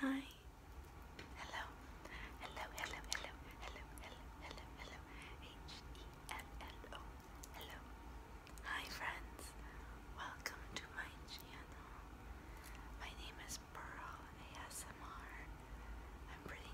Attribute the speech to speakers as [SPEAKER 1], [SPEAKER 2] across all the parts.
[SPEAKER 1] Hi, hi, hello, hello, hello, hello, hello, hello, hello, hello, H E L L O, Hi friends, welcome to my channel. My name is Pearl ASMR. I'm pretty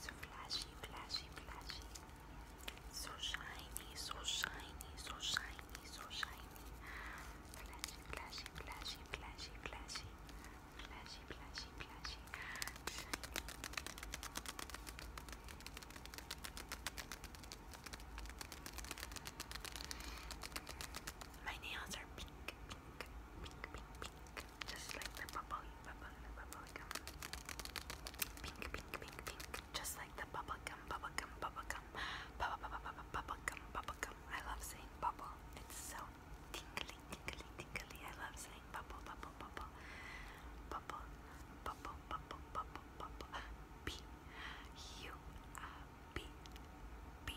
[SPEAKER 1] so flashy, flashy, flashy. So shiny, so shiny, so shiny, so shiny. Flashy, flashy, flashy, flashy, flashy. Flashy, flashy, flashy. Shiny. My nails are pink, pink, pink, pink, pink just like the bubble, bubble, bubble gum. Pink, pink, pink, pink, just like the bubble gum, bubble gum, bubble gum, bubble, bubble, bubble, bubble gum, bubble gum. I love saying bubble. It's so tingly, tingly, tingly. I love saying bubble, bubble, bubble, bubble, bubble, bubble, bubble, bubble. B, U, B, B.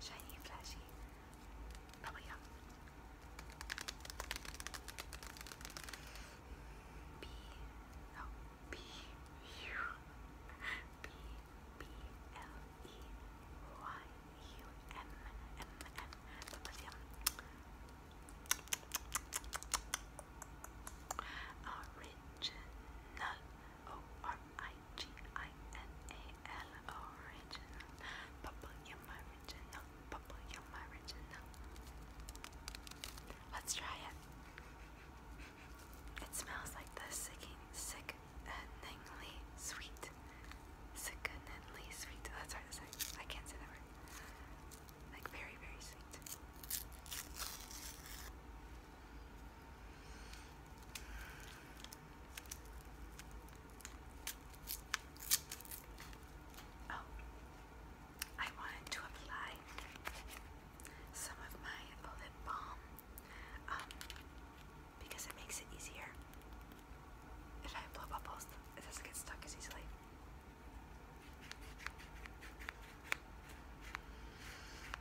[SPEAKER 1] Shiny and flashy. Bubble Yum. B. Oh, B. U. B. B. L. E. Y. U. M. M. M. Bubble Yum. Original. O-R-I-G-I-N-A-L original. Bubble, you my original. Bubble, you my original. Let's try it. It smells like the sicking, sickeningly sweet. Sickeningly sweet. That's hard to say. I can't say that word. Like very, very sweet. Oh, I wanted to apply some of my lip balm um, because it makes it easier. If I blow bubbles, it doesn't get stuck as easily.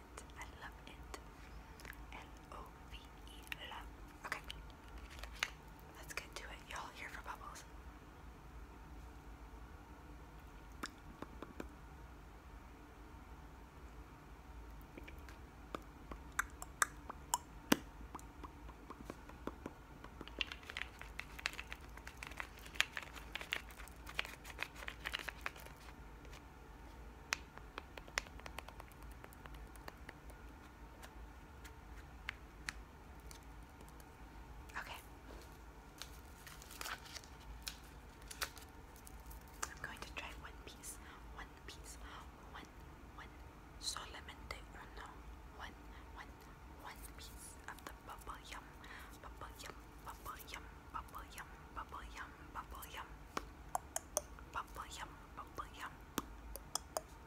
[SPEAKER 1] love it. I love it. L-O-V-E, love. Okay. Let's get to it. Y'all here for bubbles. Okay. I'm going to try one piece, one piece, one, one, solamente uno, one, one, one piece of the bubble yum, bubble yum, bubble yum, bubble yum, bubble yum, bubble yum, bubble yum, bubble yum,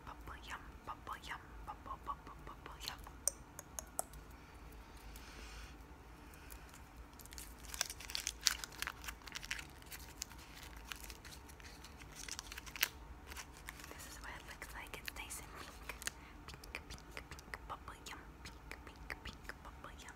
[SPEAKER 1] bubble yum, bubble yum, bubble bubble bubble yum. This is what it looks like. It's nice and pink, pink, pink, pink, bubble yum, pink, pink, pink, bubble yum.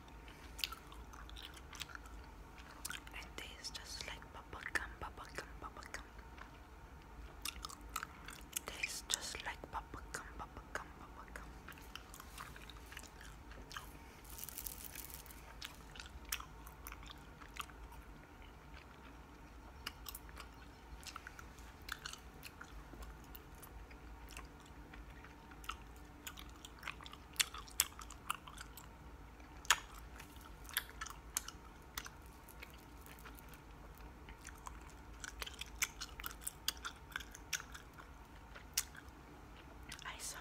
[SPEAKER 1] It tastes just like bubblegum, bubblegum, bubblegum. Tastes just like bubblegum, bubblegum, bubblegum. I saw,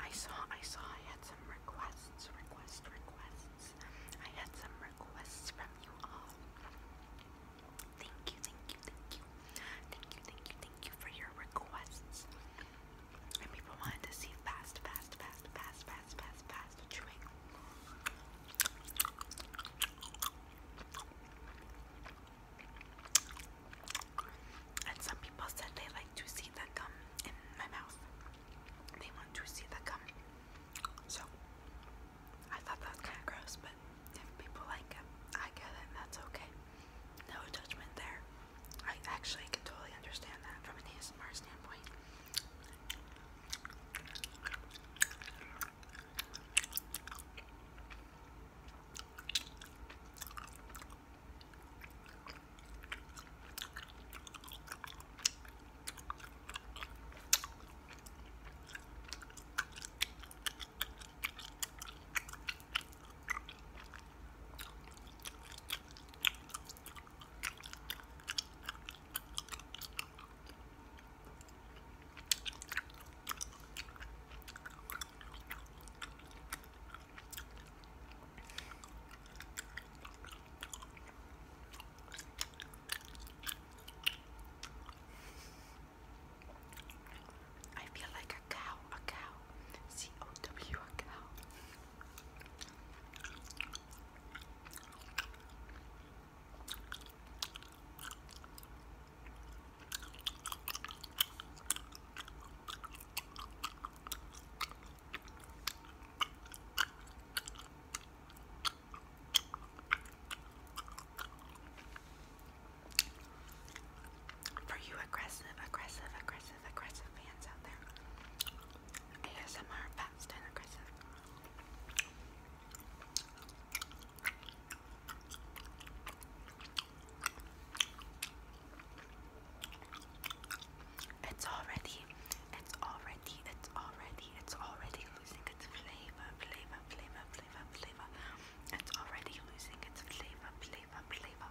[SPEAKER 1] I saw, I saw I had some requests, requests, requests. I had some requests from you all. Thank you, thank you, thank you. Thank you, thank you, thank you for your requests and people wanted to see fast, fast, fast, fast, fast, fast, fast chewing. And some people said they like to see the gum in my mouth. They want to see the gum. So I thought that was kind of gross, but if people like it, I get it, that's okay. No judgment there. I actually can totally understand that from an ASMR standpoint. I feel like a cow, a cow, C O W, a cow. For you aggressive, aggressive, aggressive, aggressive, fans out there. ASMR fast and aggressive. It's already, it's already, it's already, it's already losing its flavor, flavor, flavor, flavor, flavor. It's already losing its flavor, flavor, flavor,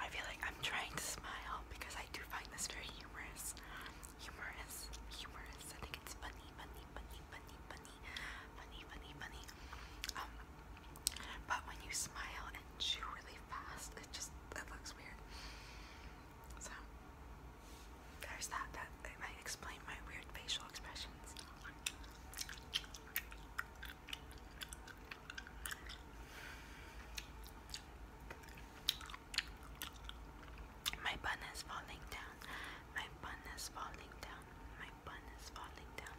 [SPEAKER 1] I feel like I'm trying to smile because I do find this very humorous. Humorous, humorous. I think it's funny, funny, funny, funny, funny, funny, funny, funny. Um, but when you smile and chew really fast, it just it looks weird. So there's that. That might explain my weird facial expressions. My bun is falling down. My bun is falling down. My bun is falling down.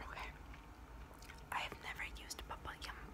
[SPEAKER 1] Okay. I have never used bubble yum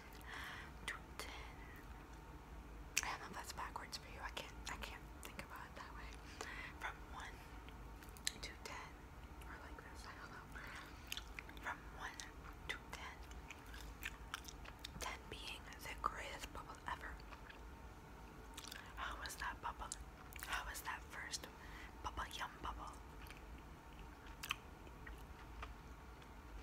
[SPEAKER 1] I do oh, that's backwards for you. I can't I can't think about it that way. From one to ten. Or like this, I From one to ten. being the greatest bubble ever. How was that bubble? How was that first bubble yum bubble?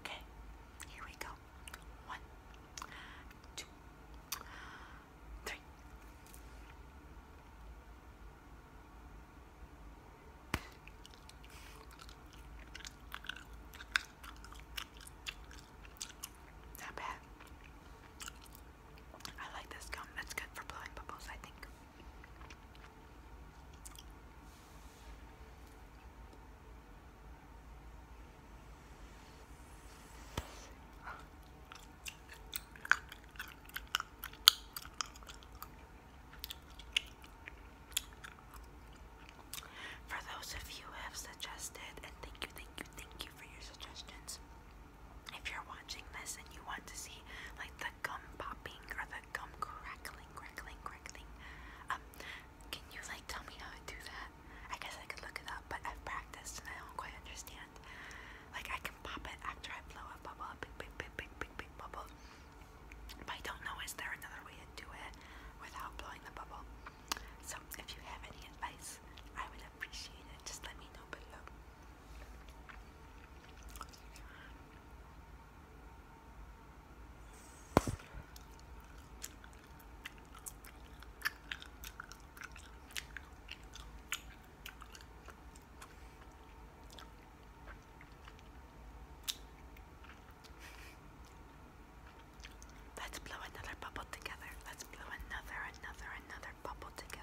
[SPEAKER 1] Okay, here we go. One, two, three. Not bad. I like this gum. It's good for blowing bubbles, I think. For those of you who have suggested, and thank you, thank you, thank you for your suggestions. If you're watching this and you want to see like the gum popping or the gum crackling, crackling, crackling, um, can you like tell me how to do that? I guess I could look it up, but I've practiced and I don't quite understand. Like I can pop it after I blow a bubble, big, big, bubble. But I don't know, is there another way to do it without blowing the bubble? So if you have any advice, I would appreciate it. Just let me know below. Let's blow another bubble together. Let's blow another, another, another bubble together.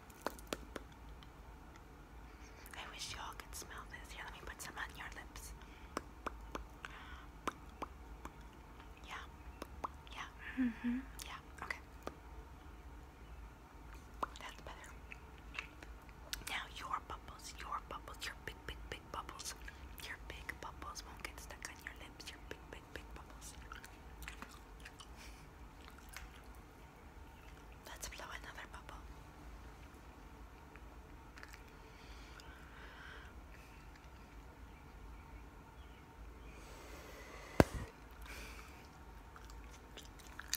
[SPEAKER 1] I wish y'all could smell this. Here, let me put some on your lips. Yeah. Yeah. -hmm. Yeah. Okay. That's better. Now your bubbles, your bubbles, your big, big, big bubbles, your big bubbles won't get stuck on your lips. Your big, big, big bubbles. Let's blow another bubble.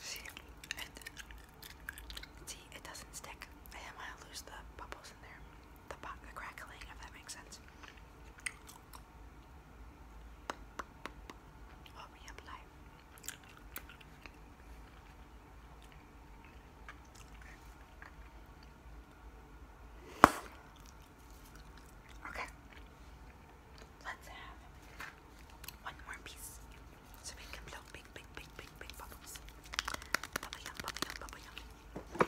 [SPEAKER 1] See, it, see, it doesn't stick. I want to lose the bubbles in there. the crackling, if that makes sense or reapply. Okay, let's have one more piece so we can blow big, big, big, big, big bubbles. Bubble yum, bubble yum, bubble yum.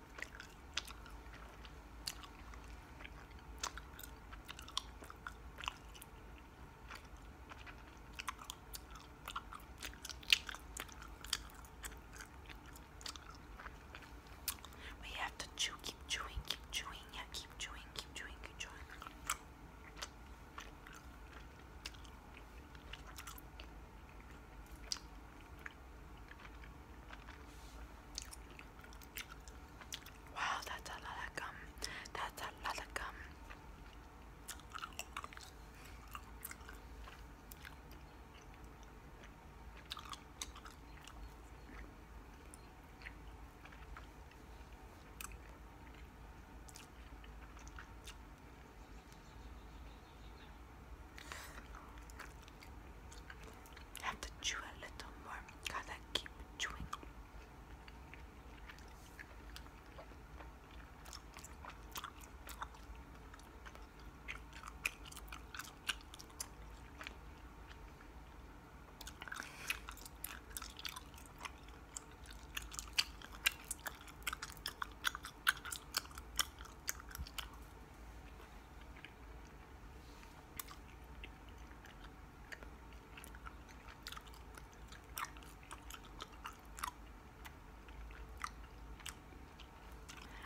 [SPEAKER 1] We have to chew, keep chewing, keep chewing, yeah, keep chewing, keep chewing, keep chewing. Wow, that's a lot of gum. That's a lot of gum. Have to chew a little more. Gotta keep chewing.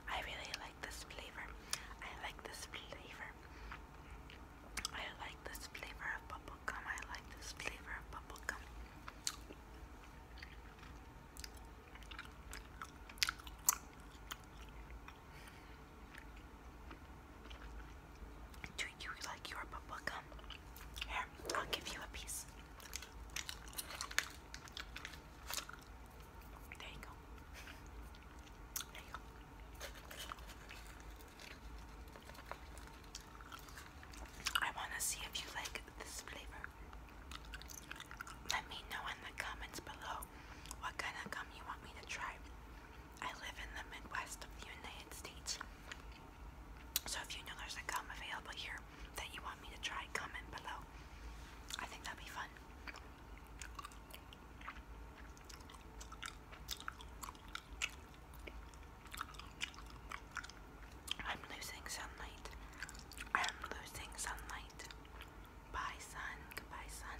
[SPEAKER 1] I really like this flavor. I like this flavor. I like this flavor of bubble gum. I like this flavor of bubble gum. Do you like your bubble gum? Here, I'll give you a piece. There you go. There you go. I want to see if you like this flavor. Let me know in the comments below. What kind of gum you want me to try? I live in the Midwest of the United States. So if you know there's a gum available here that you want me to try, comment below. I think that'd be fun. I'm losing sunlight. I'm losing sunlight. Bye, sun. Goodbye, sun.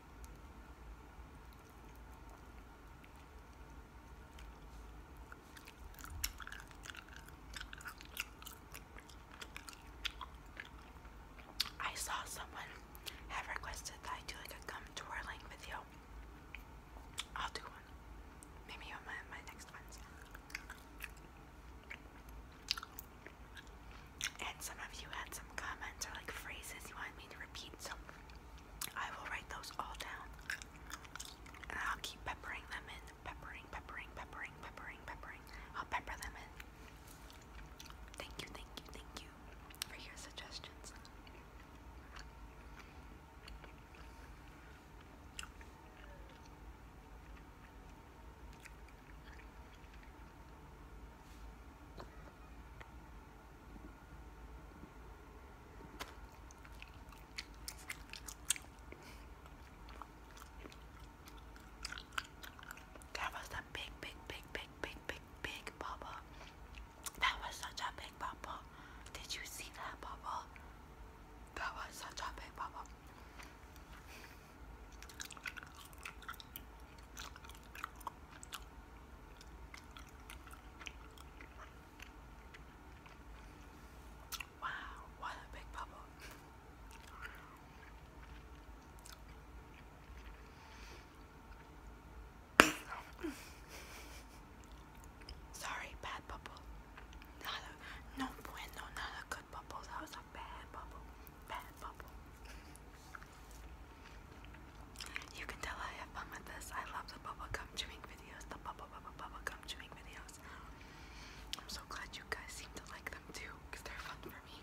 [SPEAKER 1] I saw someone have requested that I do like a gum twirling video. I'll do one. Maybe on my, my next ones and some of you had some comments or like phrases you wanted me to repeat, so I will write those all down. And I'll keep peppering them in. Peppering, peppering, peppering, peppering, peppering. I'll pepper them in. Thank you, thank you, thank you for your suggestions. That was a big, big, big, big, big, big, big bubble. That was such a big bubble. Did you see that bubble? That was such a big bubble. Wow, what a big bubble. Sorry, bad bubble. Not a, no bueno, not a good bubble. That was a bad bubble. Bad bubble. You can tell I have fun with this. I love the bubble gum chewing videos. The bubble bubble bubble gum chewing videos. I'm so glad you guys seem to like them too, they're fun for me.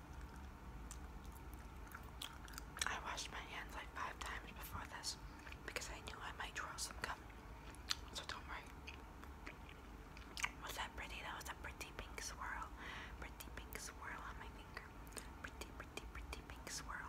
[SPEAKER 1] I washed my hands like five times before this because I knew I might draw some gum. So don't worry. Was that pretty? That was a pretty pink swirl. Pretty pink swirl on my finger. Pretty, pretty, pretty pink swirl.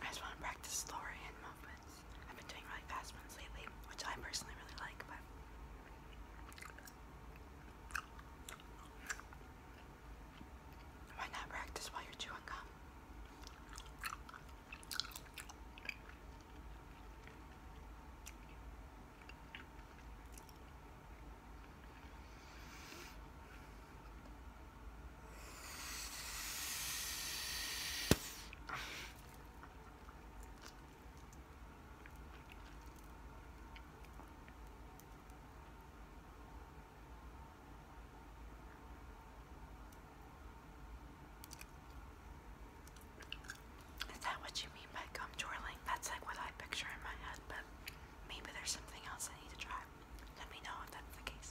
[SPEAKER 1] I just want to practice story and movement. I've been doing really fast ones lately, which I personally really like, but why not practice while you're chewing gum? Is that what you mean by gum twirling? That's like what I picture in my head, but maybe there's something else I need to try. Let me know if that's the case.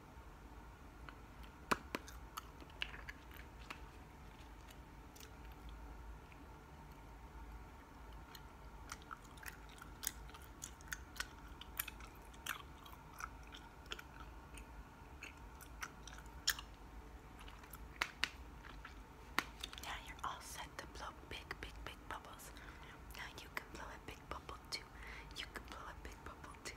[SPEAKER 1] Now you're all set to blow big, big, big bubbles. Now you can blow a big bubble too. You can blow a big bubble too.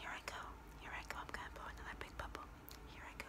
[SPEAKER 1] Here I go. Here I go. I'm going to blow another big bubble. Here I go.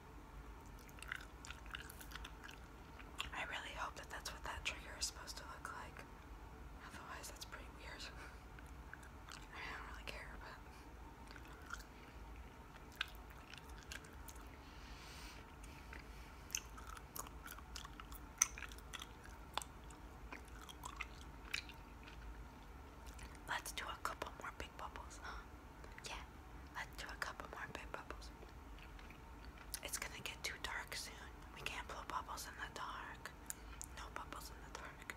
[SPEAKER 1] I really hope that that's what that trigger is supposed to look like. Otherwise, that's pretty weird. I don't really care, but. Let's do a couple more big bubbles, huh? Yeah, let's do a couple more big bubbles. It's gonna get too dark soon. We can't blow bubbles in the dark. No bubbles in the dark.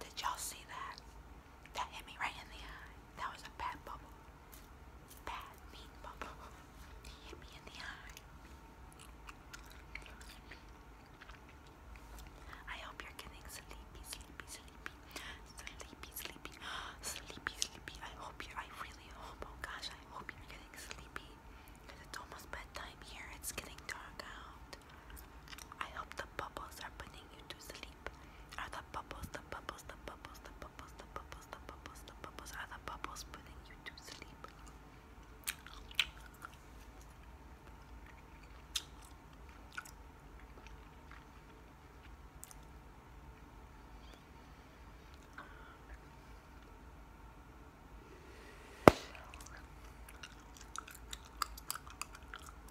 [SPEAKER 1] Did y'all see that? That hit me right in the eye. That was a bad bubble. Bad, mean bubble. He hit me in the eye. I hope you're getting sleepy, sleepy, sleepy. Sleepy, sleepy. Sleepy, I hope you I really hope, oh gosh, I hope you're getting sleepy. Because it's almost bedtime here. It's getting dark out. I hope bubbles are putting you to sleep. Are the bubbles, the bubbles, the bubbles, the bubbles, the bubbles, the bubbles, the bubbles, are the bubbles putting you to sleep?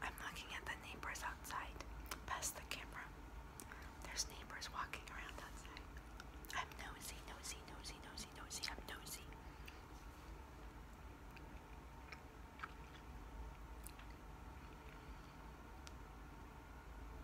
[SPEAKER 1] I'm looking at the neighbors outside, past the camera. There's neighbors walking around outside. I'm nosy, nosy, nosy, nosy, nosy, I'm nosy.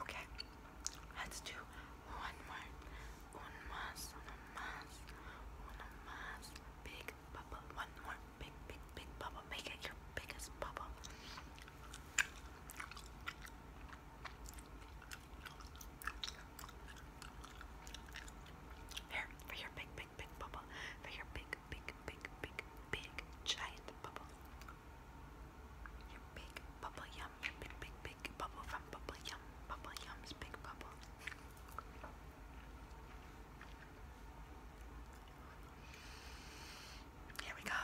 [SPEAKER 1] Okay, let's do one more. One más, one más, one más. Big bubble, one more. Big, big, big bubble. Make it your biggest bubble. Here, for your big, big, big bubble. For your big, big, big, big, big giant bubble. Your big bubble yum, your big, big, big bubble from bubble yum, bubble yum's big bubble. Here we go.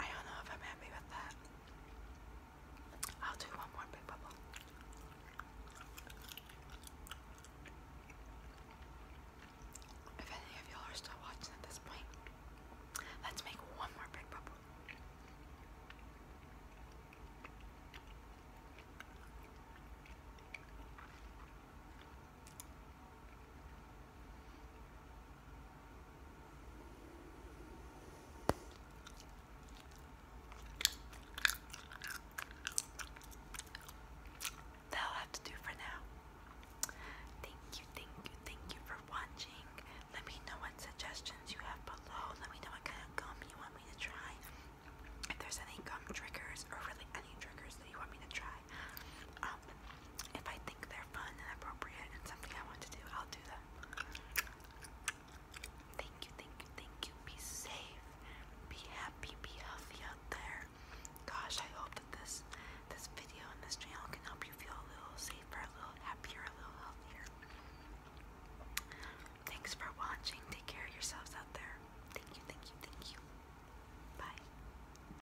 [SPEAKER 1] I don't know if I'm happy with that. I'll do one more big bubble. If any of y'all are still watching at this point, let's make one more big bubble. That'll have to do for now. Thank you, thank you, thank you for watching. Let me know what suggestions you have below. Let me know what kind of gum you want me to try. If there's any gum triggers or really any triggers that you want me to try, um, if I think they're fun and appropriate and something I want to do, I'll do them. Thank you, thank you, thank you. Be safe, be happy, be healthy out there. Gosh, I hope that this this video and this channel can help you feel a little safer, a little happier, a little healthier. Thanks for watching. Take care of yourselves out there. Thank you, thank you, thank you. Bye.